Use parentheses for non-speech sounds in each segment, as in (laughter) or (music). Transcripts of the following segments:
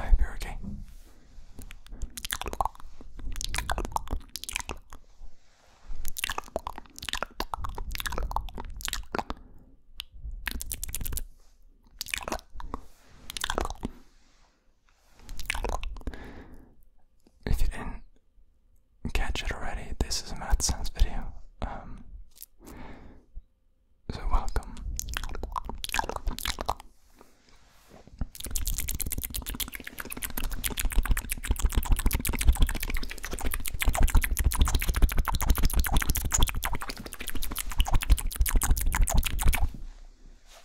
I hope you're okay. If you didn't catch it already, this is a math sense video. Um, so welcome.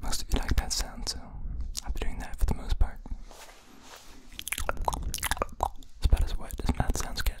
Most of you like that sound, so I've been doing that for the most part. It's about as wet as math sounds get.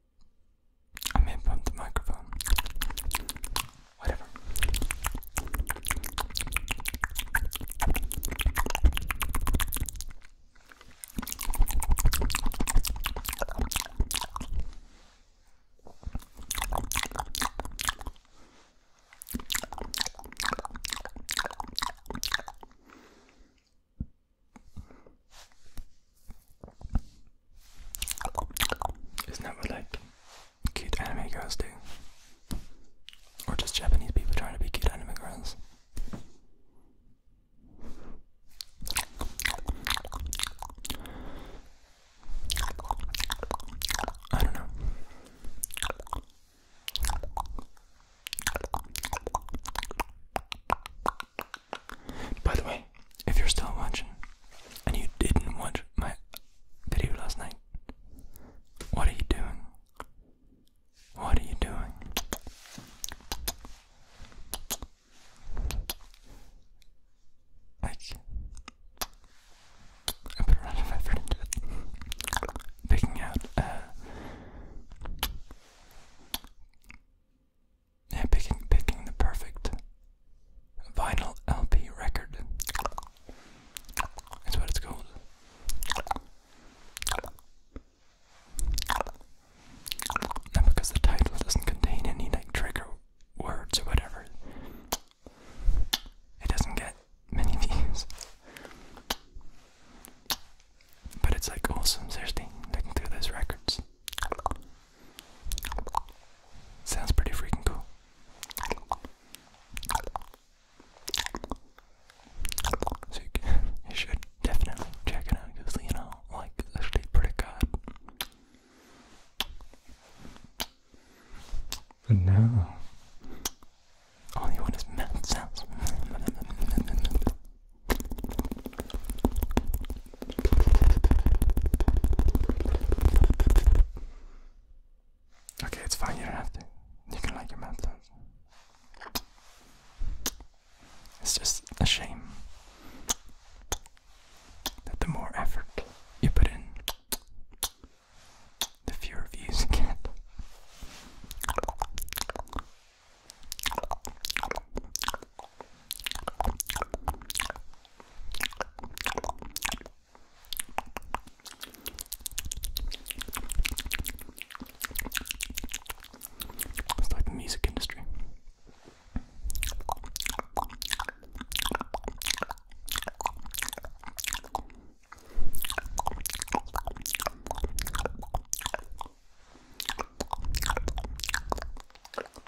I may bump the microphone. Whatever. Isn't that what like cute anime girls do? Or just Japanese people trying to be cute anime girls? I don't know. By the way, if you're still watching and you didn't watch my video last night, what are you doing? What are you doing? Like, I put a lot of effort into it. Picking out, uh, yeah, picking picking the perfect vinyl LP record. That's what it's called. And because the title doesn't contain any like trigger words or whatever, it doesn't get many (laughs) views. But it's like awesome, seriously, looking through those records. Sounds pretty freaking cool. So you, (laughs) should definitely check it out because, you know, like, actually pretty good. But now, all you want is mouth sounds. (laughs) Okay, it's fine, you don't have to. You can like your mouth It's just a shame that the more effort you put in, the fewer views you get. It's like the music industry.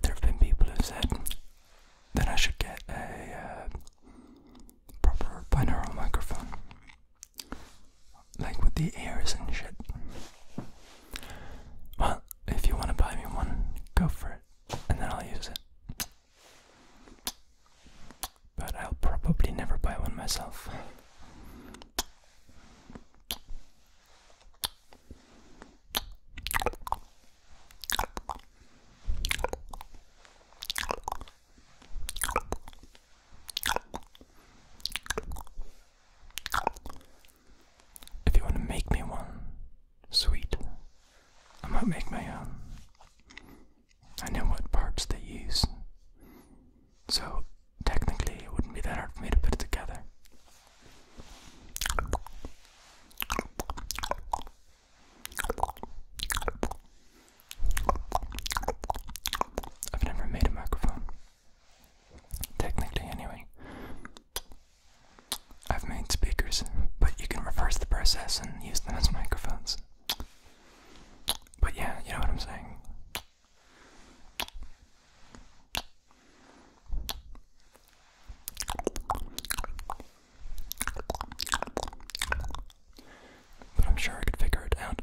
There have been people who said that I should get a uh, proper binaural microphone, like with the ears and shit. Well, if you want to buy me one, go for it, and then I'll use it. But I'll probably never buy one myself. If you want to make me one, sweet, I might make my own. I know what parts they use. So technically, it wouldn't be that hard for me to put it together. I've never made a microphone. Technically, anyway. I've made speakers, but you can reverse the process and use them as microphones. But yeah, you know what I'm saying. But I'm sure I could figure it out.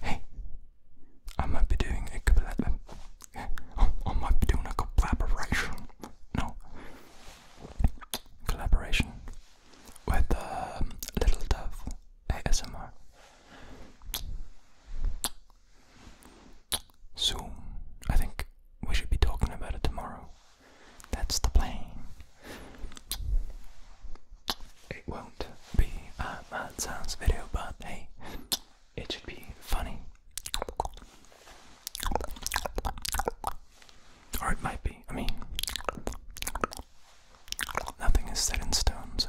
Hey, I might be doing a collaboration. Uh, I might be doing a collaboration. No, collaboration with um, Little Dove ASMR. Soon, I think we should be talking about it tomorrow. That's the plan. It won't be a Mad Sounds video, but hey, it should be funny. Or it might be, I mean, Nothing is set in stone, so.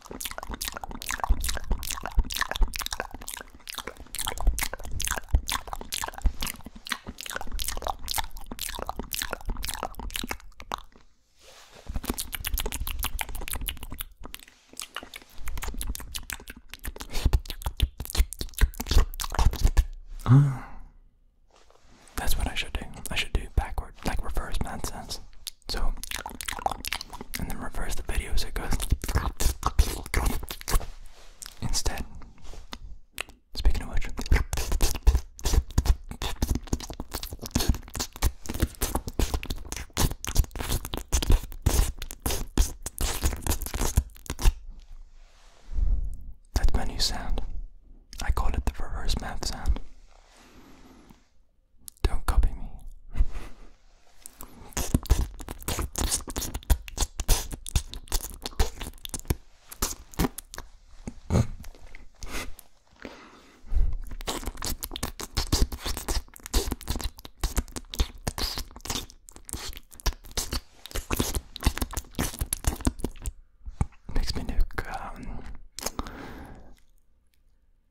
Ah, that's what I should do. I should do backward, like reverse nonsense. So, and then reverse the videos. it goes. Instead, speaking of which, that's my new sound. I call it the reverse math sound. Don't copy me. Makes me look um,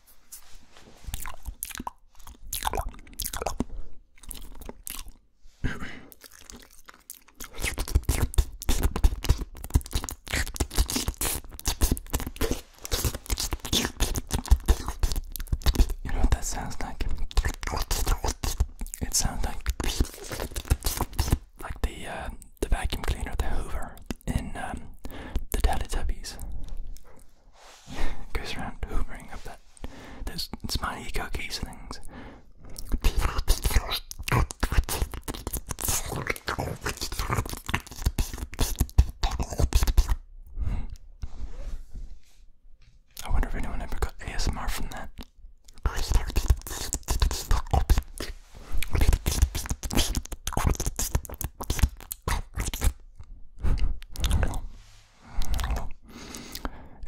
You know what that sounds like? It sounds like like the uh, the vacuum cleaner, the Hoover in um, the Teletubbies. (laughs) Goes around hoovering up that those smiley cookies things. I wonder if anyone ever got ASMR from that.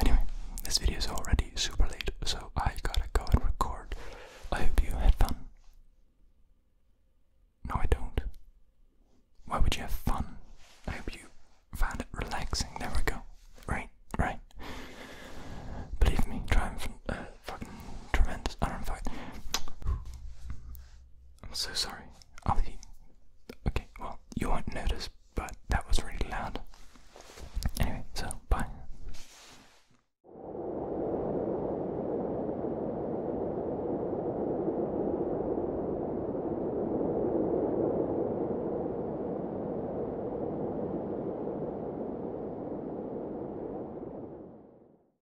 Anyway, this video is already super late, so I gotta go and record. I hope you had fun. No, I don't. Why would you have fun? I hope you found it relaxing. There we go. Right, right. Believe me, triumphant, uh, fucking tremendous. I don't know I'm so sorry. I'll be. Okay, well, you won't notice, but that was really loud. Anyway, so bye.